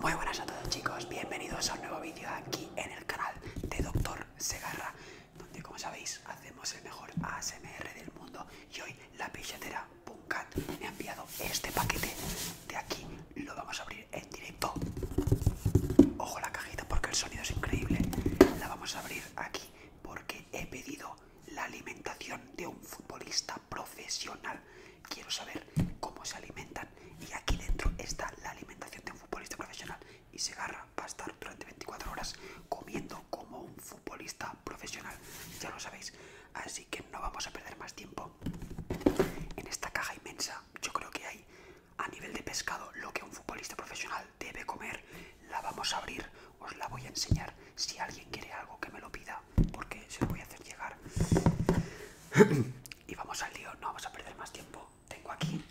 Muy buenas a todos chicos, bienvenidos a un nuevo vídeo aquí en el canal de Doctor Segarra, donde como sabéis hacemos el mejor ASMR del mundo y hoy la pillatera Punkat me ha enviado este paquete de aquí, lo vamos a abrir en directo. Ojo la cajita porque el sonido es increíble, la vamos a abrir aquí porque he pedido la alimentación de un futbolista profesional. Quiero saber cómo se alimentan y aquí dentro está la alimentación de un futbolista profesional. Y se agarra para estar durante 24 horas comiendo como un futbolista profesional. Ya lo sabéis. Así que no vamos a perder más tiempo. En esta caja inmensa yo creo que hay a nivel de pescado lo que un futbolista profesional debe comer. La vamos a abrir. Os la voy a enseñar. Si alguien quiere algo que me lo pida. Porque se lo voy a hacer llegar. Y vamos al lío, no vamos a perder más tiempo. Tengo aquí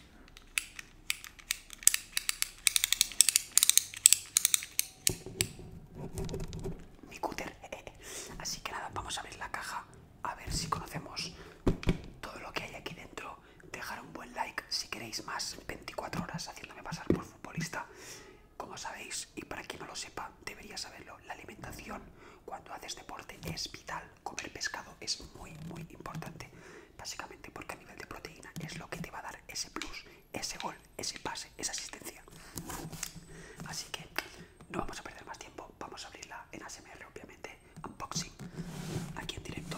mi cúter. Así que nada, vamos a abrir la caja a ver si conocemos todo lo que hay aquí dentro. Dejar un buen like si queréis más 24 horas haciéndome pasar por futbolista, como sabéis. Y para quien no lo sepa, Deberías saberlo. La alimentación cuando haces deporte es vital. Comer pescado es muy, muy importante. Básicamente porque a nivel de proteína es lo que te va a dar ese plus, ese gol, ese pase, esa asistencia. Así que no vamos a perder más tiempo. Vamos a abrirla en ASMR, obviamente. Unboxing. Aquí en directo.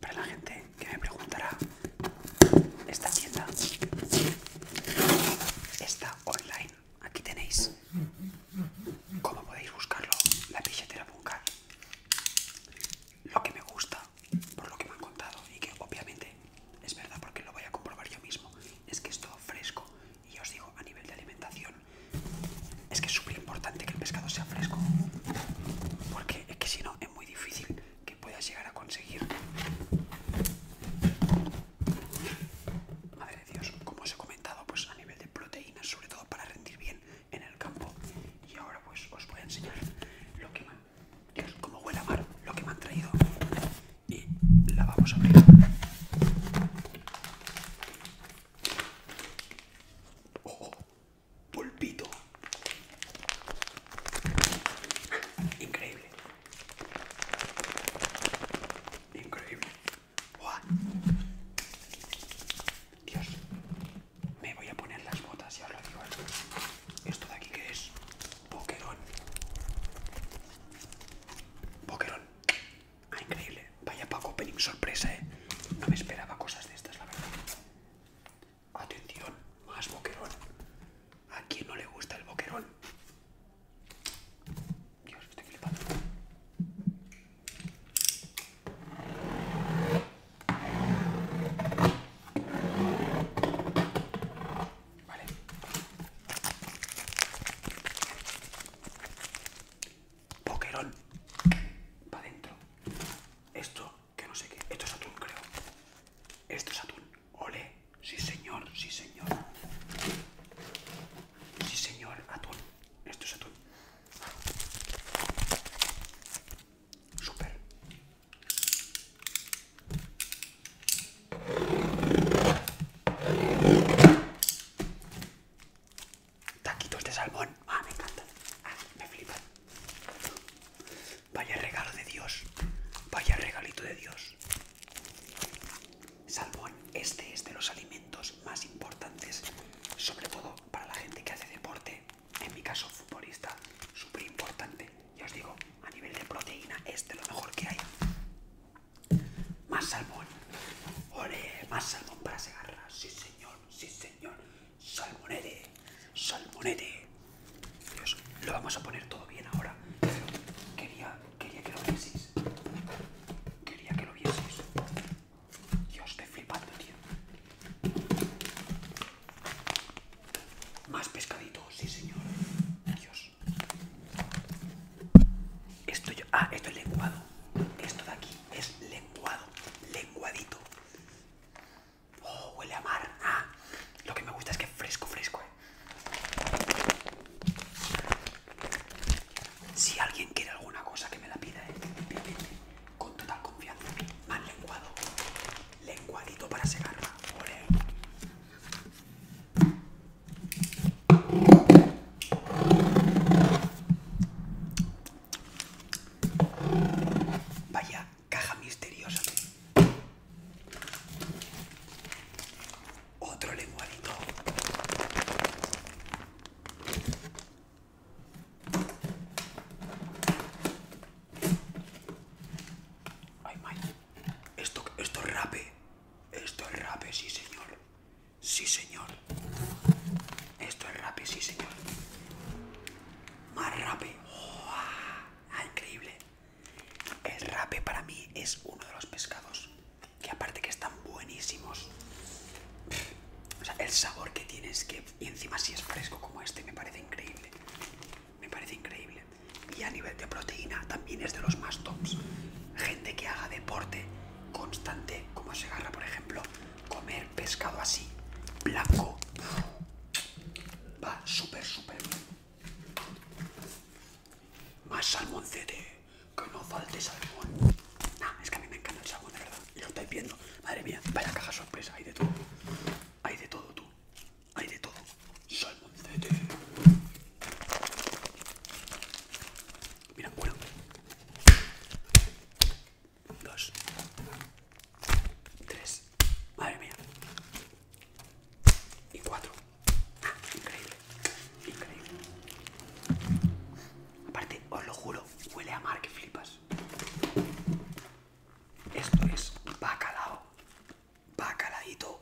Para la gente que me preguntará, esta tienda está online. Aquí tenéis cómo podéis buscarlo, la Bunker Lo que me gusta, por lo que me han contado, y que obviamente es verdad porque lo voy a comprobar yo mismo, es que es todo fresco. Y os digo, a nivel de alimentación, es que es súper importante que el pescado sea fresco. Porque es que si no, es muy difícil que puedas llegar a conseguir. Madre de Dios, como os he comentado, pues a nivel de proteínas, sobre todo para rendir bien en el campo. Y ahora pues os voy a enseñar lo que Dios, como huele a mar, lo que me han traído. Y la vamos a abrir pulpito. Increíble. Increíble. Dios. Me voy a poner las botas, ya os lo digo. Esto de aquí que es Pokerón Pokerón ah, increíble. Vaya poco opening sorpresa, eh. No me esperaba cosas de estas, la verdad. Atención, más boquerón. ¿A quién no le gusta el boquerón? Dios, estoy flipando. Vale. Boquerón. Para adentro. Esto que no sé qué. Esto es atún, creo. Esto es atún. Ole. Sí, señor. Sí, señor. Sí, señor. Atún. Esto es atún. Super. Taquitos de salmón. Ah, me encantan. Ah, me flipan. Vaya regalo de Dios. Vaya regalito de Dios. Salmón, este es de los alimentos más importantes, sobre todo para la gente que hace deporte, en mi caso futbolista, súper importante. Ya os digo, a nivel de proteína este es lo mejor que hay. Más salmón. Ore más salmón para segarra. Sí señor, sí señor. Salmonete, salmonete. Dios, lo vamos a poner todo bien ahora. quería, quería que lo vieseis. Quería que lo vieseis. Dios, estoy flipando, tío. Más pescadito, sí señor. Dios. Esto yo, ah, esto es lenguado. Esto de aquí es lenguado, lenguadito. Oh, huele a mar. Ah, lo que me gusta es que fresco, fresco. Eh. Si alguien quiere alguna cosa que me la pida, eh, con total confianza. Más lenguado. Lenguadito para secarla. Vaya caja misteriosa. Otro lenguadito. Ay, Esto, esto es rape. Esto es rape, sí, señor. Sí, señor. Esto es rape, sí, señor más rape. Ah, increíble. El rape para mí es uno de los pescados que aparte que están buenísimos. el sabor que tiene que y encima si es fresco como este me parece increíble. Me parece increíble. Y a nivel de proteína también es de los más tops. Gente que haga deporte constante, como se agarra por ejemplo, comer pescado así, blanco, Va súper, súper bien. Más salmoncete. Que no falte salmón. Nah, es que a mí me encanta el salmón, de verdad. Y lo estáis viendo. Madre mía, vaya caja sorpresa. Hay de todo. Hay de todo, tú. Hay de todo. Salmoncete. Mira, bueno dos, tres, madre mía, y cuatro. Ah, increíble, increíble. Aparte, os lo juro, huele a mar que flipas. Esto es bacalao, bacaladito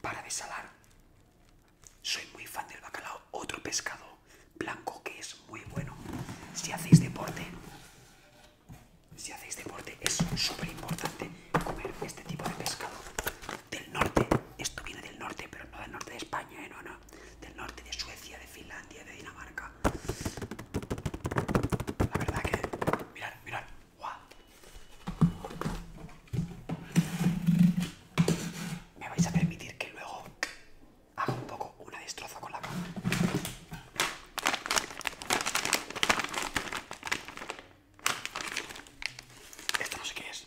para desalar. Soy muy fan del bacalao, otro pescado blanco que es muy bueno. Si hacéis deporte, si hacéis deporte es súper importante comer este tipo de pescado del norte. Esto viene del norte, pero no del norte de España, ¿eh? no, no. Del norte de Suecia, de Finlandia, de Dinamarca. La verdad que, mirad, mirad, Me vais a permitir que luego hago un poco una destroza con la caja Esto no sé qué es.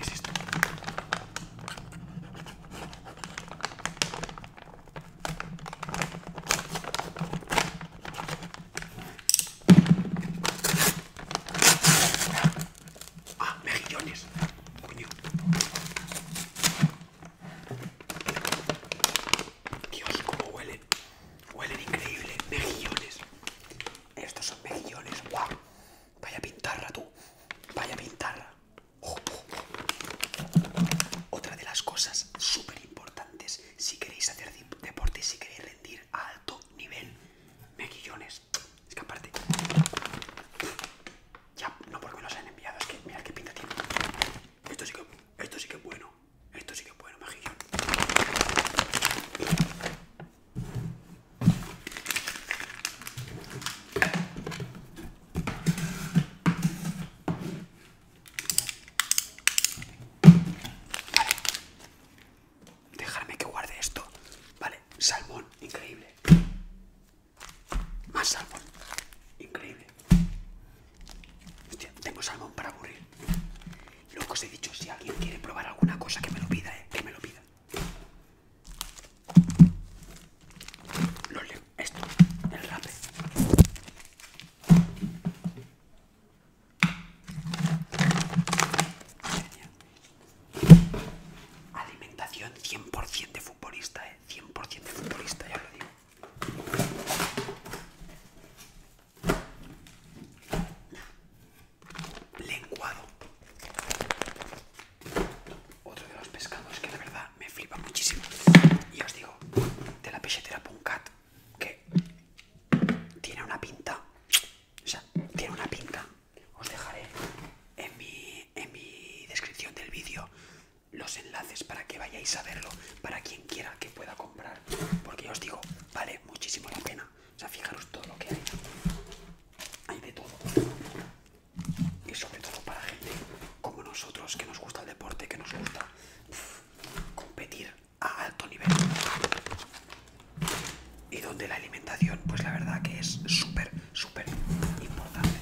es esto. Ah, mejillones. Coño. Dios, cómo huelen. Huelen increíble. Mejillones. Estos son mejillones. Guau Vaya pintarla tú. Vaya pintarra. Otra de las cosas súper importantes si queréis hacer deporte, y si queréis rendir a alto nivel, Mejillones, Es que aparte... Ya, no porque me los han enviado, es que mirad qué pinta tiene. Esto sí que, esto sí que es bueno. Esto sí que es bueno, mejillón. Vale. que guarde esto. Vale, salmón, increíble. Más salmón, increíble. Hostia, tengo salmón para aburrir. Lo os he dicho, si alguien quiere probar alguna cosa que me lo pida, eh, que me lo pida. Lo leo, esto, el rap Alimentación 100% de futbolista, eh. 100% de futbolista, ya lo digo lenguado. Otro de los pescados que la verdad me flipa muchísimo. Y os digo, de la punkat que tiene una pinta. O sea, tiene una pinta. Os dejaré en mi, en mi descripción del vídeo los enlaces para que vayáis a verlo, para quien quiera que pueda comprar. Porque os digo, vale muchísimo la pena o sea, fijaros todo lo que hay. Hay de todo. Y sobre todo para gente como nosotros, que nos gusta el deporte, que nos gusta competir a alto nivel. Y donde la alimentación, pues la verdad que es súper, súper importante.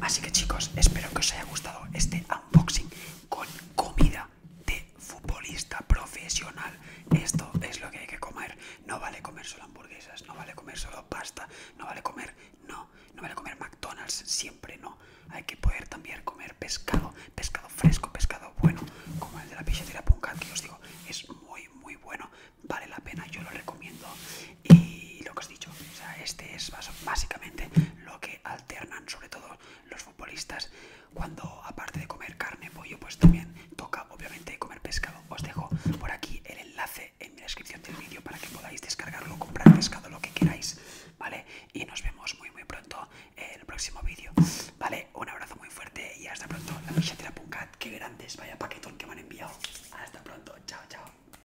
Así que chicos, espero que os haya gustado este unboxing con comida de futbolista profesional. Esto es lo que hay que comer. No vale comer solo hamburguesas, no vale comer solo pasta, no vale comer, no, no vale comer McDonald's, siempre no. Hay que poder también comer pescado, pescado fresco, pescado bueno, como el de la pizzería Punca, que os digo, es muy, muy bueno, vale la pena, yo lo recomiendo. Y lo que os he dicho, o sea, este es básicamente lo que alternan, sobre todo los futbolistas, cuando aparte de comer carne, pollo, pues también toca obviamente comer pescado. Os dejo por aquí el enlace en la descripción del vídeo para que podáis descargarlo, comprar pescado, lo que queráis, ¿vale? Y nos vemos muy muy pronto en el próximo vídeo, ¿vale? Un abrazo muy fuerte y hasta pronto. La Michatera que qué grandes, vaya paquetón que me han enviado. Hasta pronto, chao, chao.